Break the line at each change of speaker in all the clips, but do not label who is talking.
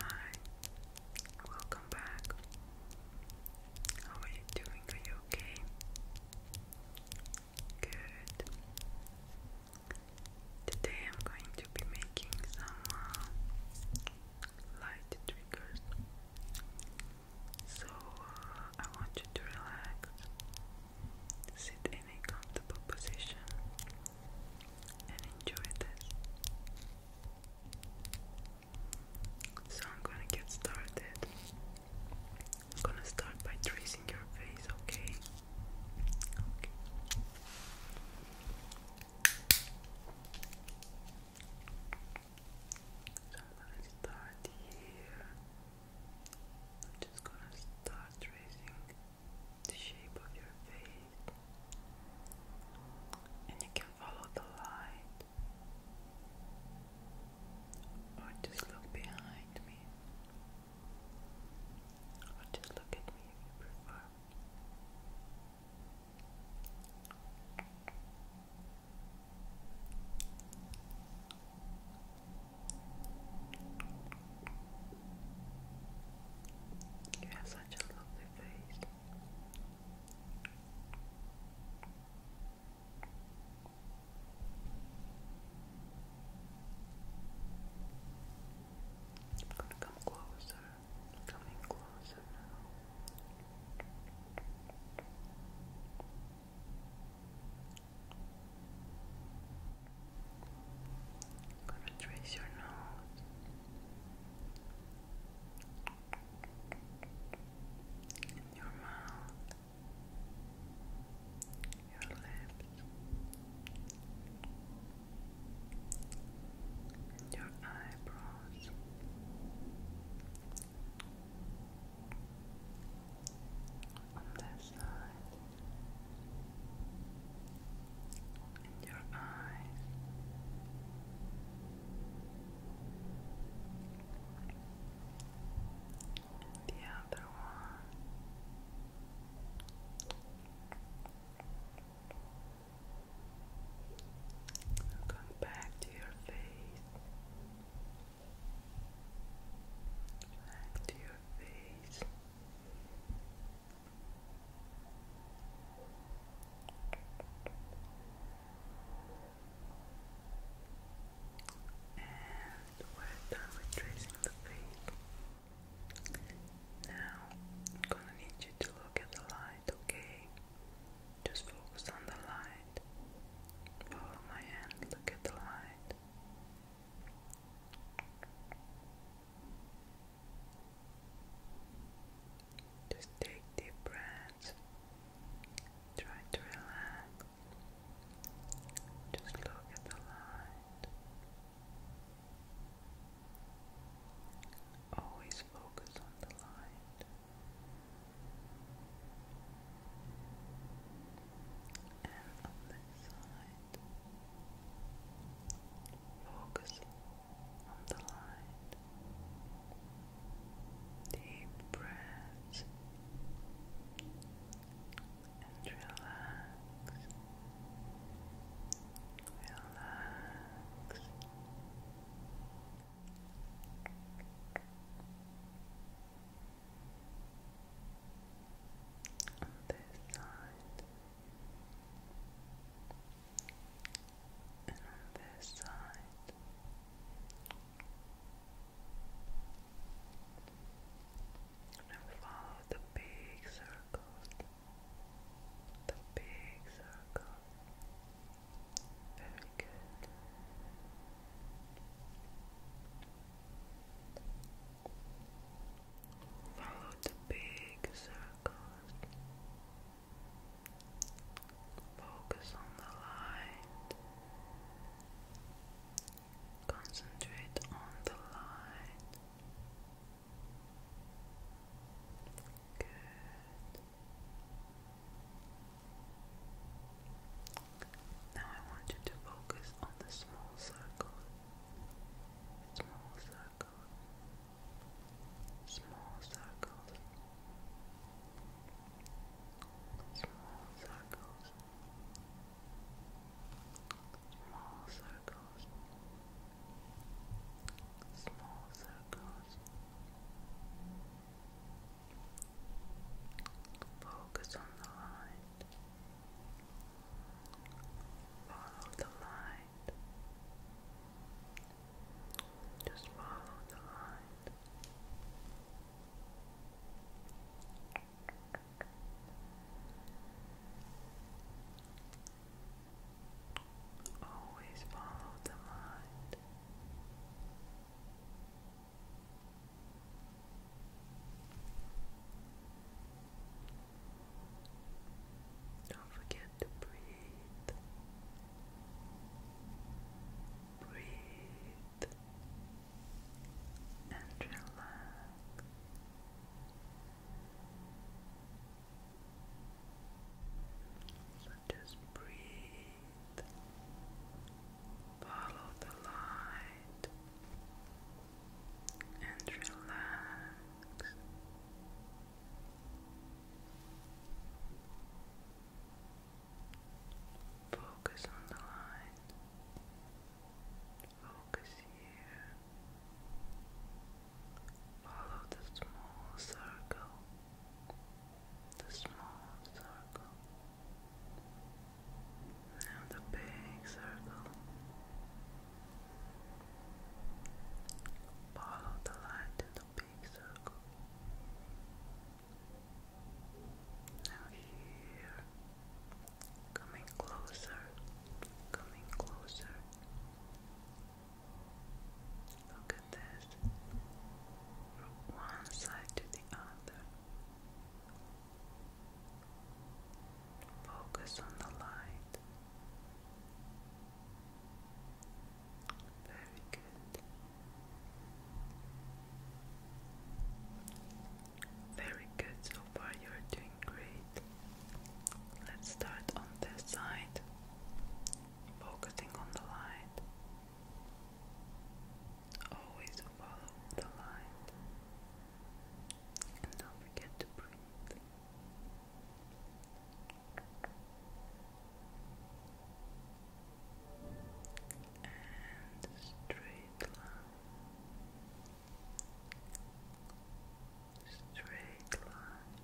Hi, welcome back. How are you doing? Are you okay? Good. Today I'm going to be making some uh, light triggers. So uh, I want you to relax, sit in a comfortable position and enjoy this. So I'm gonna get started. I'm gonna start by tracing your face, okay? So I'm gonna start here. I'm just gonna start tracing the shape of your face, and you can follow the light or just look behind me or just look at me if you you have such a lovely face. I'm gonna come closer, coming closer now. I'm gonna trace your nose. Your mouth, your lips, your eyebrows on this side and your eyes. the other one. Come back to your face. Back to your face. And we're done with tracing the face. Now I'm gonna need you to look at the light, okay? Just focus on the light. Follow my hand, look at the light. Just take deep breaths. Try to relax. Just look at the light. Always focus on the light and on this side, focus on the light. Deep breaths and relax, relax. Relax on this side and on this side. And follow the big circles, the big circle. Very good. Follow the big circles. Focus on the light. Concentrate on the light. Good. Now I want you to focus on the small circle. Small circle. Small circles. Small circles. Small circles. Small circles. Focus on the line. Follow the light. Just follow the light. Always follow the light. Don't forget to breathe. Breathe and relax. So just breathe Follow the light and relax. Focus on the light. Focus here. Follow the small circle. The small circle and a big circle. Follow the light in the big circle. Now here, coming closer, coming closer. Look at this from one side to the other. Focus on the light. Very good. Very good. So far, you're doing great. Let's start on this side, focusing on the light. Always follow the light and don't forget to breathe. And straight line, straight line,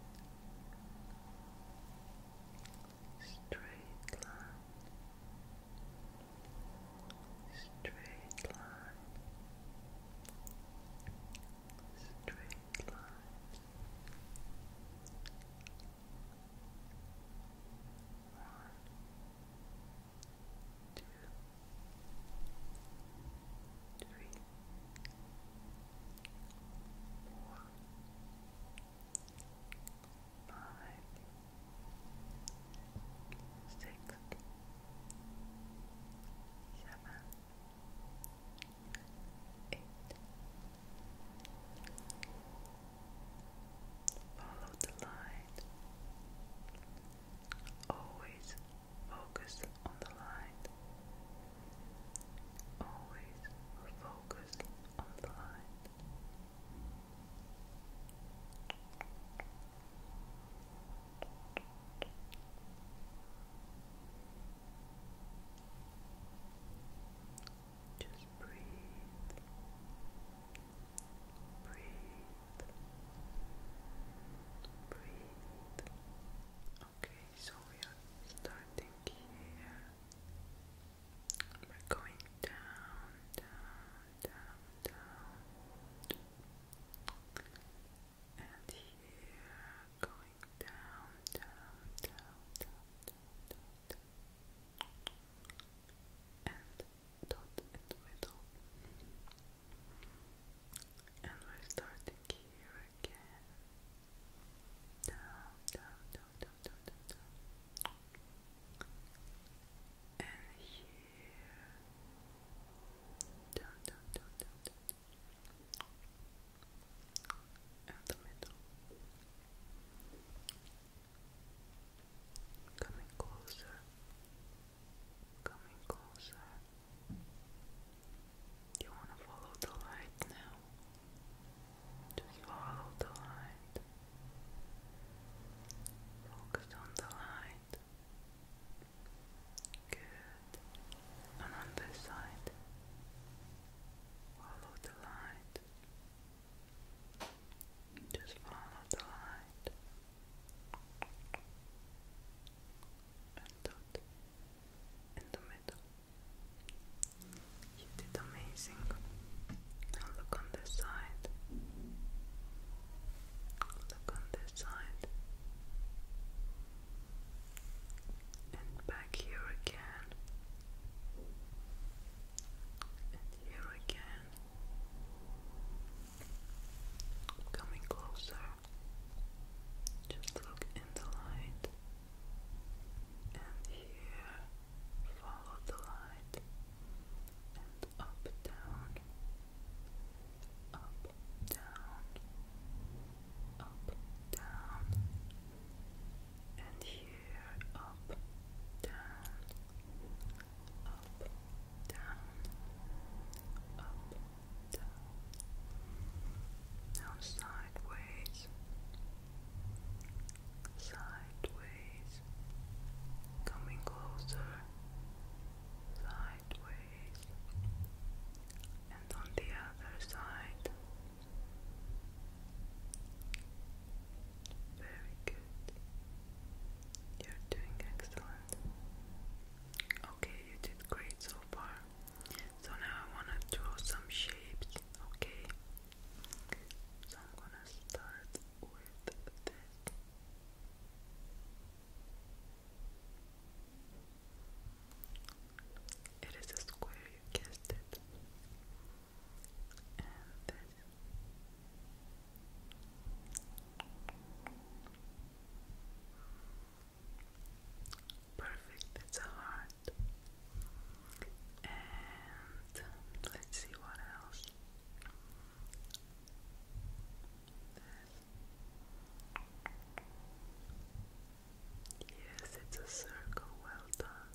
straight line, straight line, straight line. One, two, three, four. Five, five, six, seven, eight. Follow the light. Always focus on the light. Always focus on the light. Just breathe, breathe, breathe. Okay, so we are starting here. We're going down, down, down, down. And here, going down, down, down, down, down, down, down. And dot in the middle. And we're starting here again. Down, down, down, down, down, and here coming closer coming closer you want to follow the light now just follow the light. Focus on the light. Good. And on this side. Follow the light. Just follow the light. And dot in the middle. You did amazing. Now look on this side. Look on this side. And back here again. And here again. Coming closer. Just look in the light and here follow the light and up down up down up down and here up down up down up down now sideways sideways, coming closer, sideways, and on the other side. Very good. You're doing excellent. Okay, you did great so far. So now I want to draw some shapes, okay? So I'm gonna start with this. It is a square, guessed it. And this. Perfect, it's a heart. And let's see what else. Yes, it's a circle, well done.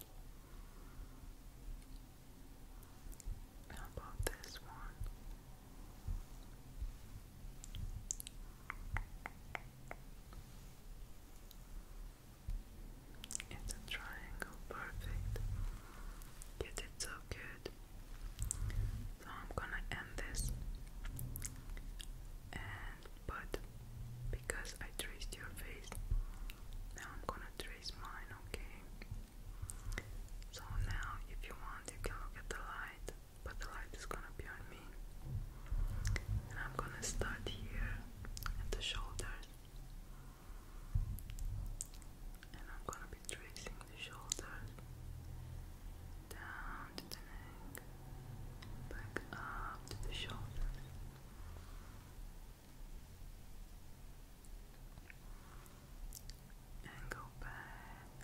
about this one? It's a triangle. Perfect. You did so good. So I'm gonna end this and but because I traced your face, now I'm gonna trace mine, okay? So now if you want you can look at the light, but the light is gonna be on me. I'm gonna start here at the shoulder and I'm gonna be tracing the shoulders down to the neck back up to the shoulders and go back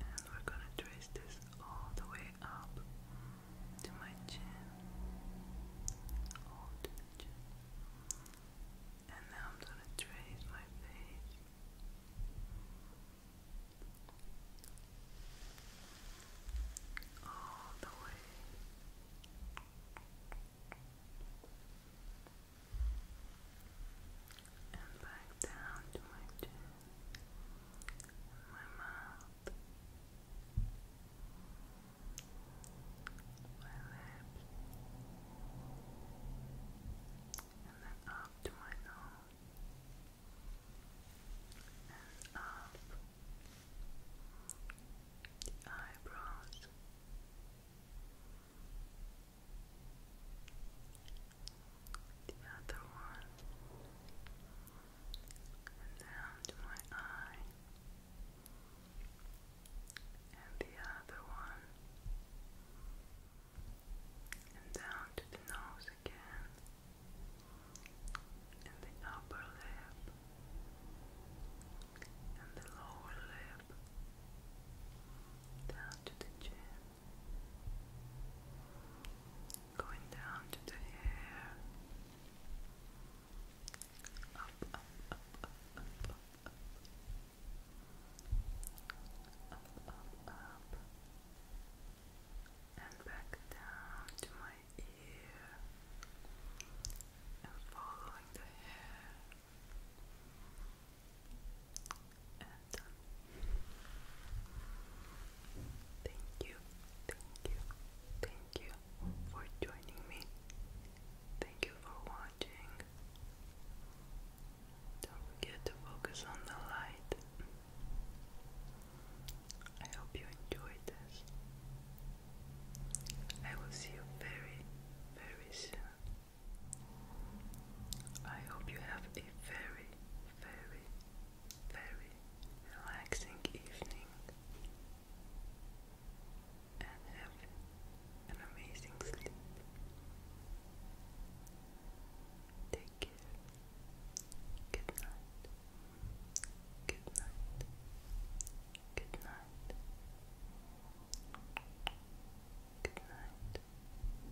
and we're gonna trace this all the way up to my chin, all to the chin. And now I'm gonna trace my face. All the way. And back down to my chin my mouth, my lips, and up to my nose, and up the eyebrows the other one, and down to my eye, and the other one, and down to the nose again, and the upper lip, and the lower lip, down to the chin. Going down to the hair. Up, up, up, up, up, up, up. Up, up, And back down to my ear. And following the hair. Thank you, thank you, thank you for joining me. Thank you for watching. Don't forget to focus on the light. I hope you enjoyed this. I will see you very, very soon. I hope you have a very, very, very relaxing evening and have an amazing sleep. Take care. Good night. Good night. Good night. Good night.